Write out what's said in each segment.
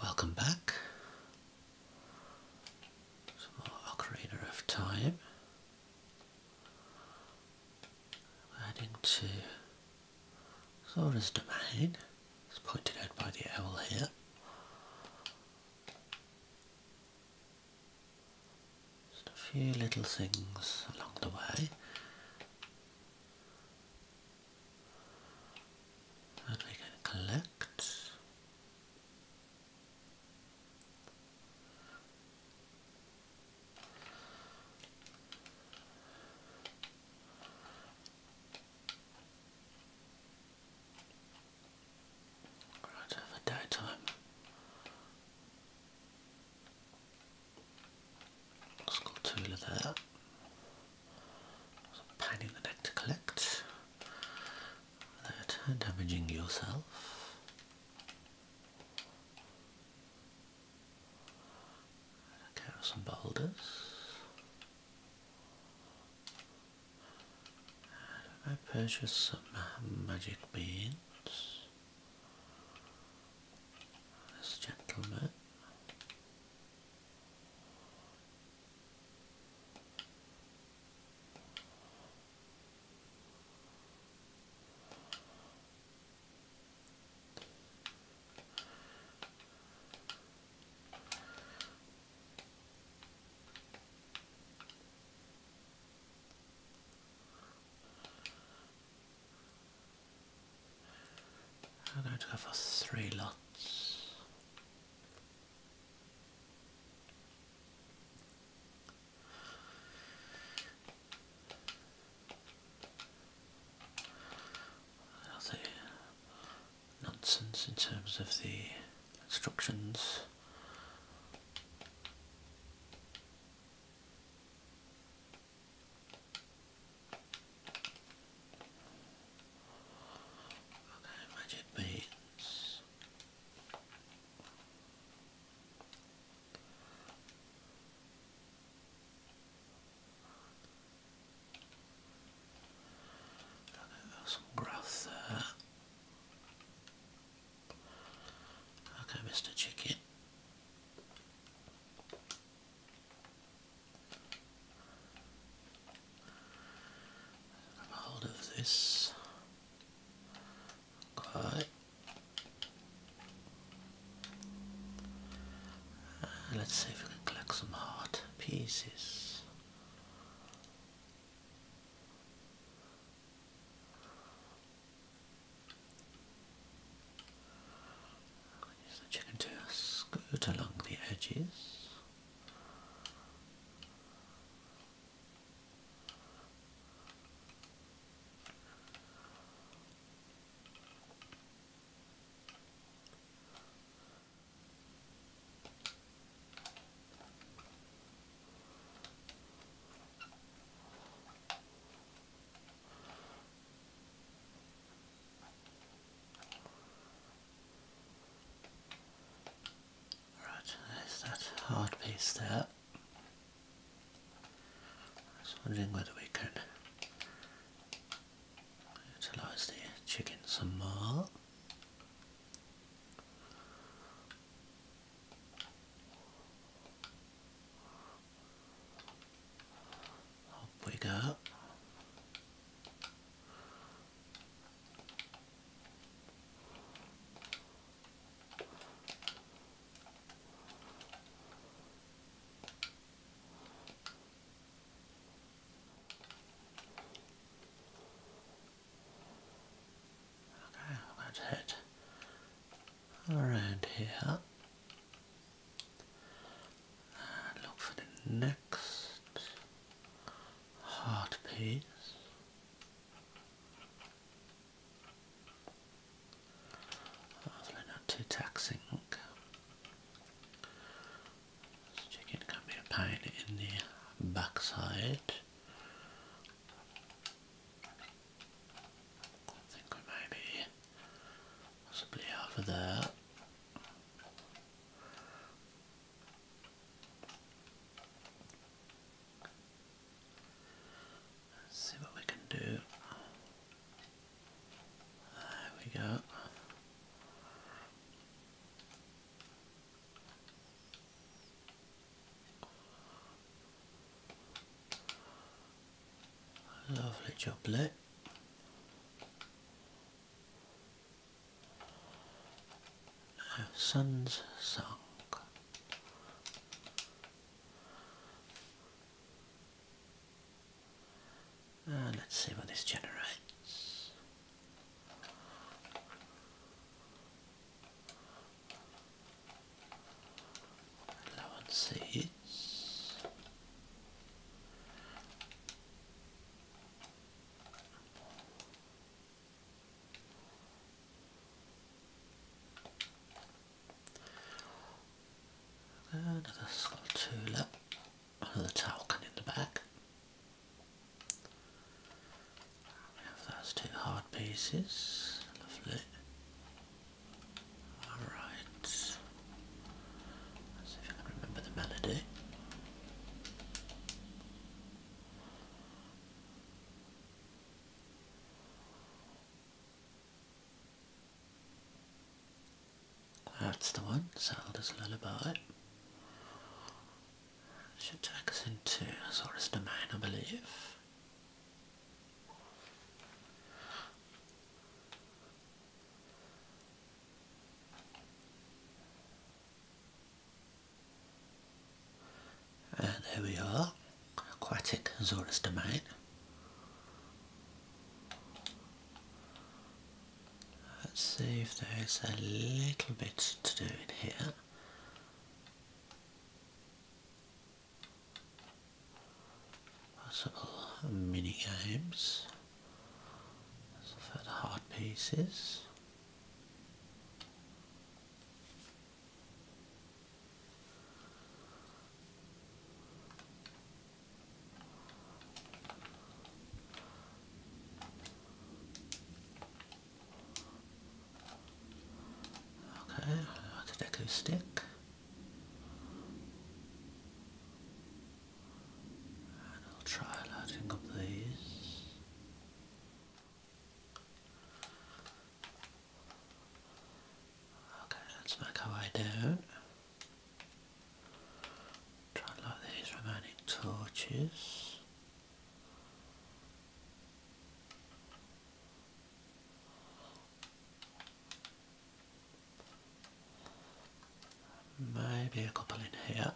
Welcome back. Some of Time. heading to Zora's Domain, as pointed out by the owl here. Just a few little things along the way that we can collect. Right over daytime. Scultula there. Some pain in the neck to collect without damaging yourself. Take some boulders. I purchase some magic beans. This gentleman. I'm going to go for three lots. nonsense in terms of the instructions. Okay, magic beans. Okay, there's some grass there. Okay, Mr. Chicken. hold of this. Okay. let's see if we can collect some hard pieces. Use the chicken to scoot along the edges. Right, there's that hard piece there. I was wondering whether we could utilise the chicken some more. Up we go. Okay, let's hit around here and look for the next heart piece. not too taxing. This chicken can be a pain in the backside. I think we may be possibly over there. Let's see what we can do. There we go. Lovely choplet. sun's sunk. Ah, let's see what this generates. Low on seeds. Another little another talcum in the back. We have those two hard pieces, lovely. Alright, see if I can remember the melody. That's the one, Zelda's Lullaby should take us into Azores domain I believe. And here we are, Aquatic Azores Domain. Let's see if there's a little bit to do in here possible mini games. So for the hard pieces. Okay, that's an acoustic. And I'll try lighting up these. Okay, let's make our way down. Try lighting light these remaining torches. Maybe a couple in here.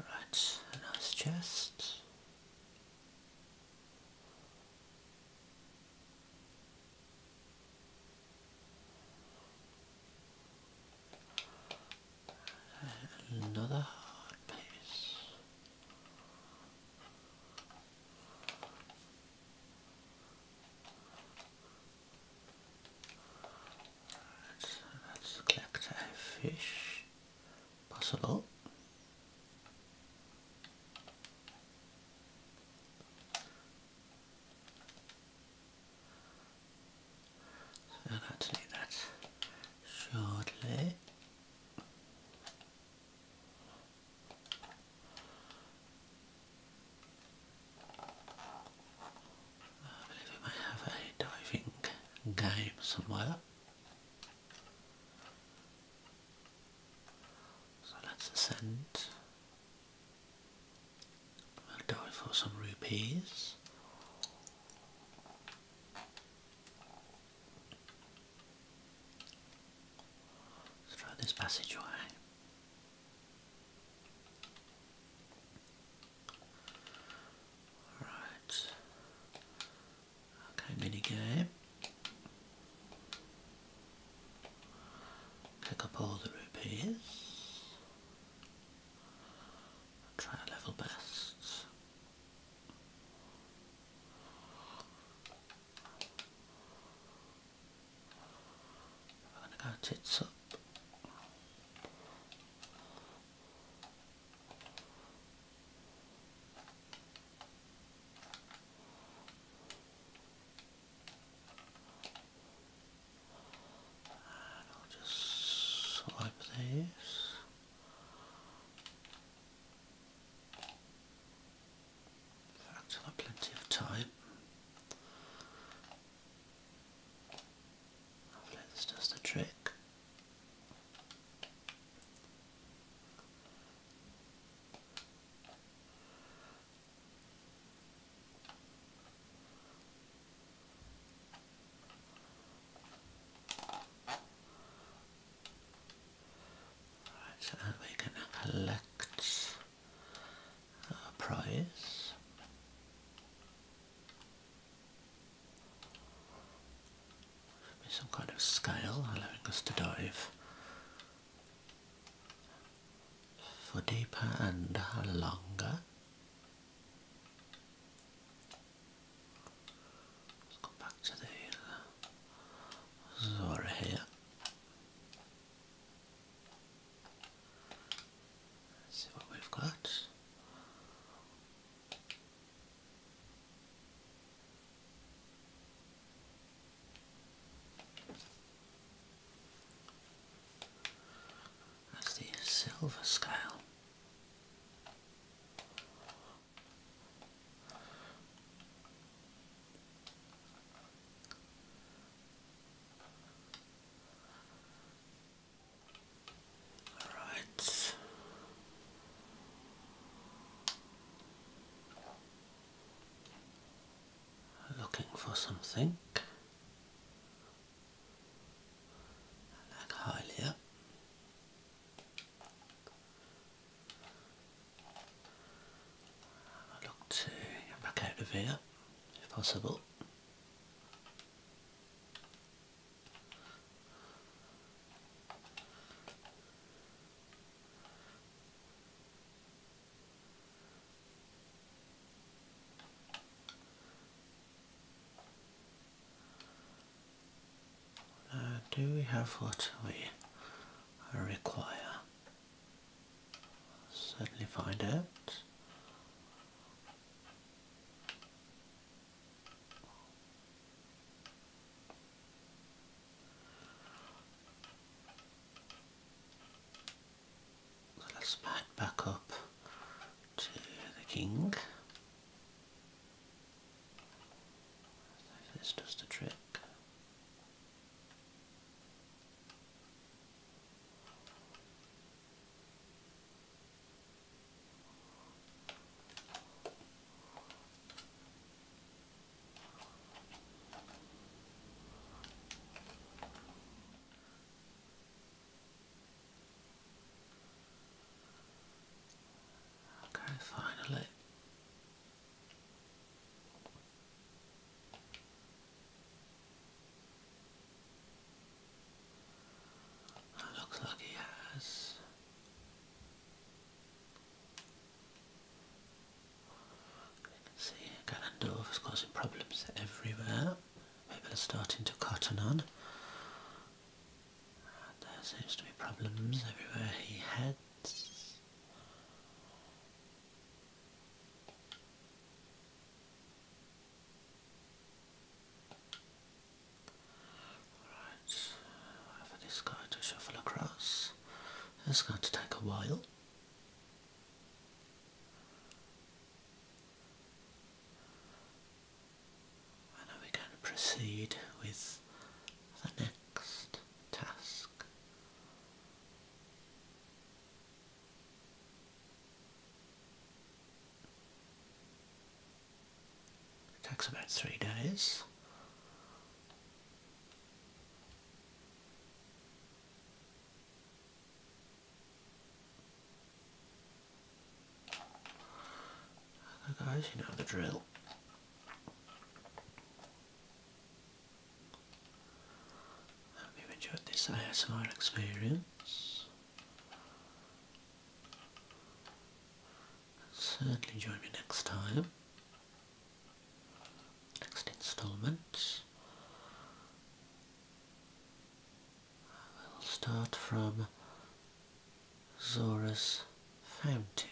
Right, nice chest. Another piece. let let's collect a fish. Pass it up. I'll have to do that shortly. I believe we may have a diving game somewhere. So let's ascend. dive for some rupees. Let's try this passageway. Alright. Okay, minigame. Pick up all the rupees. Try a level best. We're gonna go tits up. I'll just swipe these. I've got plenty of time. Hopefully this does the trick. Right, so we can collect our uh, prize some kind of scale allowing us to dive for deeper and longer. Let's go back to the uh, Zora here. Let's see what we've got. That's the silver scale. All right. Looking for something like Hylia. look to back out of here if possible. Uh, do we have what we require? certainly find out let's back back up to the king. This does the trick. Okay, finally looks like he has. see Ganondorf is causing problems everywhere. Maybe People are starting to cotton on. there seems to be problems everywhere he heads. Alright, this guy to shuffle across. It's going to take a while. And we're going to proceed with the next task. It takes about three days. guys, you know the drill. I hope you enjoyed this ASMR experience. Certainly join me next time. Next instalment. I will start from Zora's Fountain.